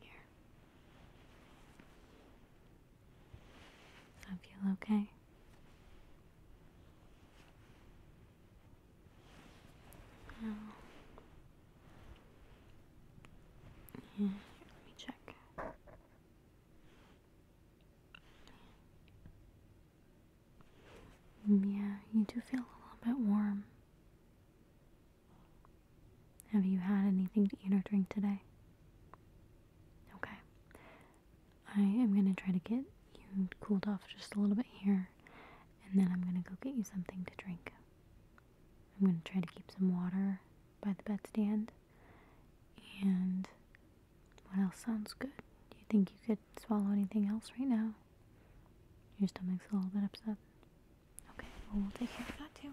Here. Does feel okay? No. Yeah, let me check. Mm, yeah, you do feel a little bit warm. Have you had anything to eat or drink today? Okay. I am going to try to get you cooled off just a little bit here, and then I'm going to go get you something to drink. I'm going to try to keep some water by the bedstand. And what else sounds good? Do you think you could swallow anything else right now? Your stomach's a little bit upset. Okay, we'll take care of that too.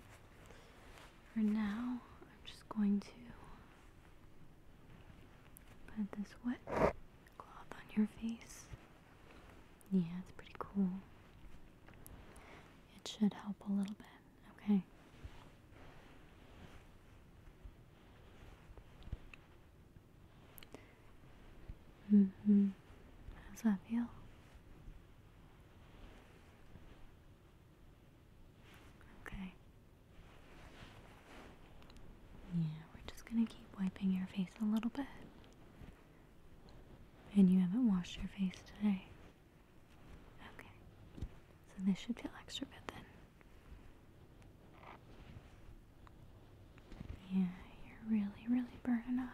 For now, I'm just going to put this wet cloth on your face. Yeah, it's pretty cool. It should help a little bit. Okay. Mm hmm. How does that feel? Okay. Yeah, we're just gonna keep wiping your face a little bit. And you haven't washed your face today. Okay. So this should feel extra good then. Yeah, you're really, really burning up.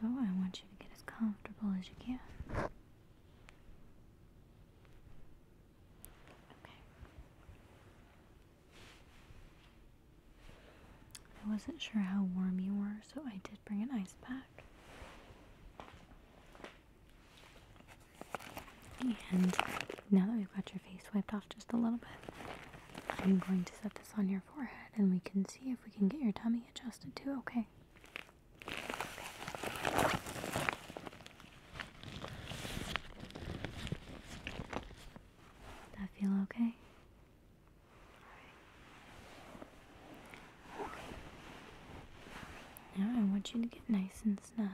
So I want you to get as comfortable as you can. Okay. I wasn't sure how warm you were, so I did bring an ice pack. And now that we've got your face wiped off just a little bit, I'm going to set this on your forehead and we can see if we can get your tummy adjusted too, okay? That feel Okay. Now I want you to get nice and snug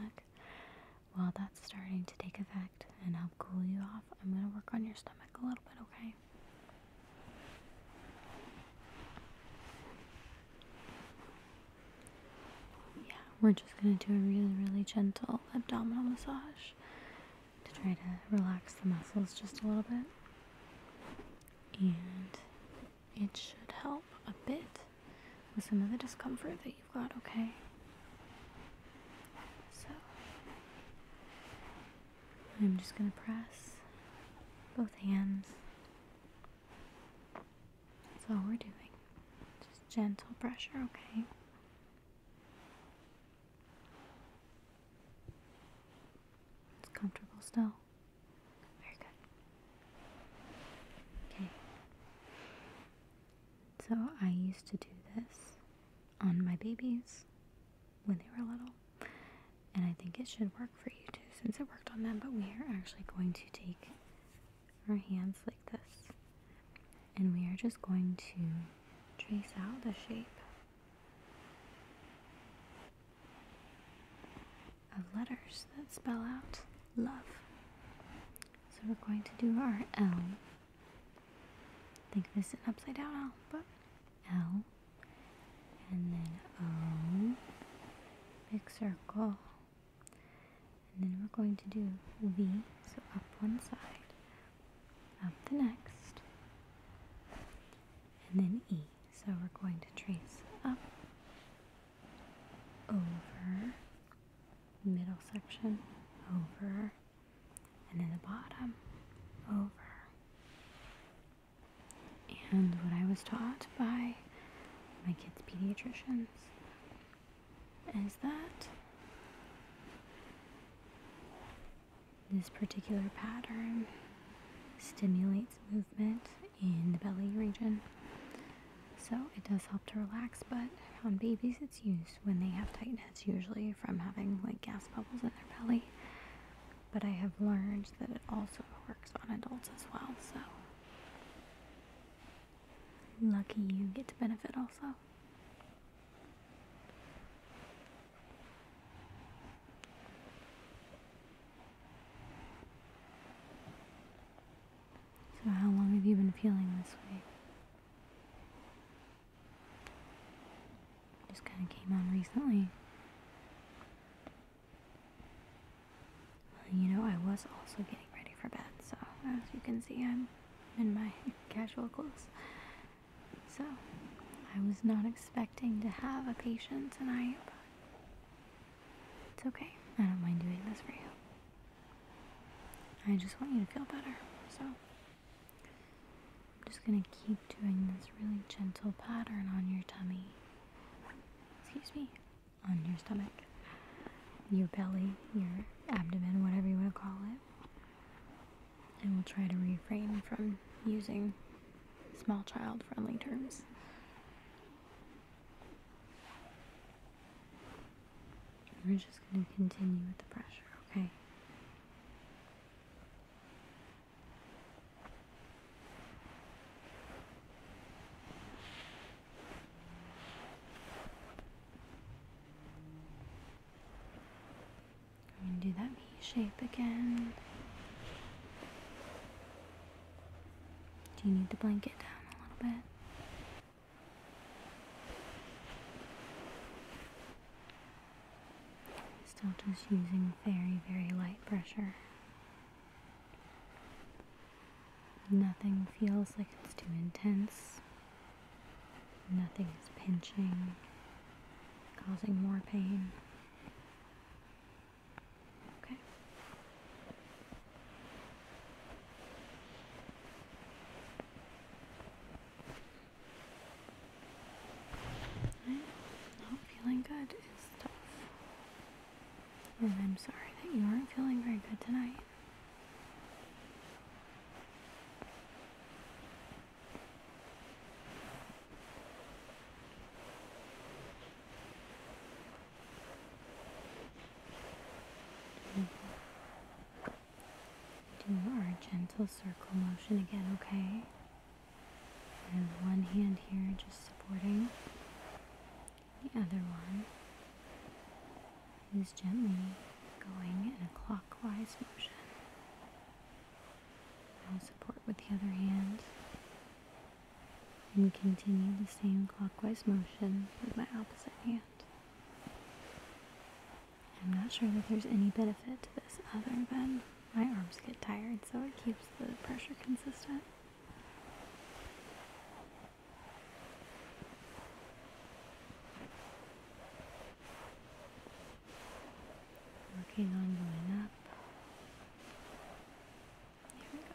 while that's starting to take effect effect and help cool you off. I'm going to work on your stomach a little bit, okay? Yeah, we're just going to do a really, really gentle abdominal massage to try to relax the muscles just a little bit. And it should help a bit with some of the discomfort that you've got, okay? So, I'm just going to press both hands. That's all we're doing. Just gentle pressure, okay? It's comfortable still. Very good. Okay. So I used to do this on my babies when they were little. And I think it should work for you too since it worked on them. But we are actually going to take our hands like this and we are just going to trace out the shape of letters that spell out love. So we're going to do our L I think this is sitting upside down L, but L and then O, big circle, and then we're going to do V, so up one side, up the next, and then E. So we're going to trace up, over, middle section, over, and then the bottom over. And what I was taught by my kids' pediatricians is that this particular pattern stimulates movement in the belly region. So it does help to relax, but on babies it's used when they have tightness, usually from having like gas bubbles in their belly. But I have learned that it also works on adults as well, so lucky you get to benefit also. So, how long have you been feeling this way? Just kind of came on recently. you know, I was also getting ready for bed, so as you can see, I'm in my casual clothes. So, I was not expecting to have a patient tonight, but it's okay. I don't mind doing this for you. I just want you to feel better, so. I'm just going to keep doing this really gentle pattern on your tummy. Excuse me. On your stomach, your belly, your abdomen, whatever you want to call it. And we'll try to refrain from using small child friendly terms. We're just going to continue with the pressure, okay? Going to do that V shape again. Do you need the blanket down a little bit? Still just using very, very light pressure. Nothing feels like it's too intense. Nothing is pinching, causing more pain. Okay. I'm not feeling good is tough. And I'm sorry that you aren't feeling very good tonight. Mm-hmm. Do our gentle circle motion again, okay? And one hand here just supporting the other one is gently going in a clockwise motion. I'll support with the other hand and continue the same clockwise motion with my opposite hand. I'm not sure that there's any benefit to this other than my arms get tired, so it keeps the pressure consistent. Working on going up. Here we go.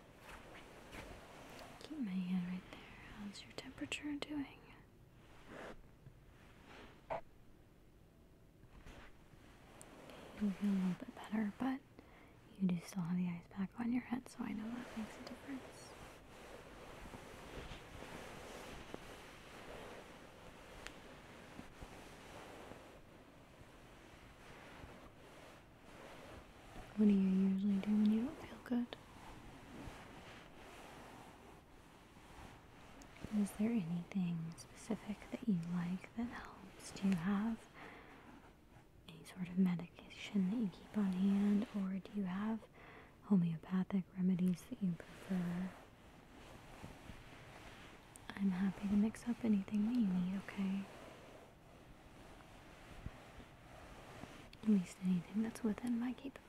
Keep my hand right there. How's your temperature doing? You feel a little bit better, but you do still have the ice pack on your head, so I know that makes a difference. What do you usually do when you don't feel good? Is there anything specific that you like that helps? Do you have any sort of medication that you keep on hand, or do you have homeopathic remedies that you prefer? I'm happy to mix up anything that you need, okay? At least anything that's within my capabilities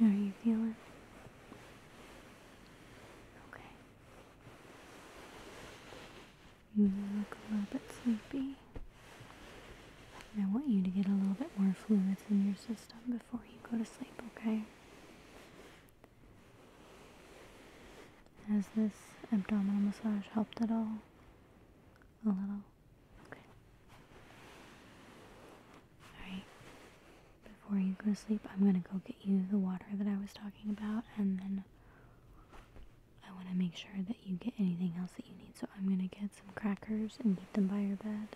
are you feeling? Okay. You look a little bit sleepy. I want you to get a little bit more fluids in your system before you go to sleep, okay? Has this abdominal massage helped at all? A little? Okay. Alright. Before you go to sleep, I'm gonna go get you the water that I was talking about and then I wanna make sure that you get anything else that you need. So I'm gonna get some crackers and keep them by your bed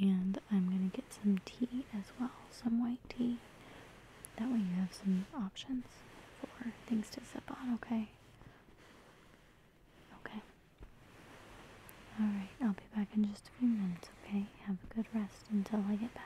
and I'm gonna get some tea as well, some white tea. That way you have some options for things to sip on, okay? Okay. Alright, I'll be back in just a few minutes, okay? Have a good rest until I get back.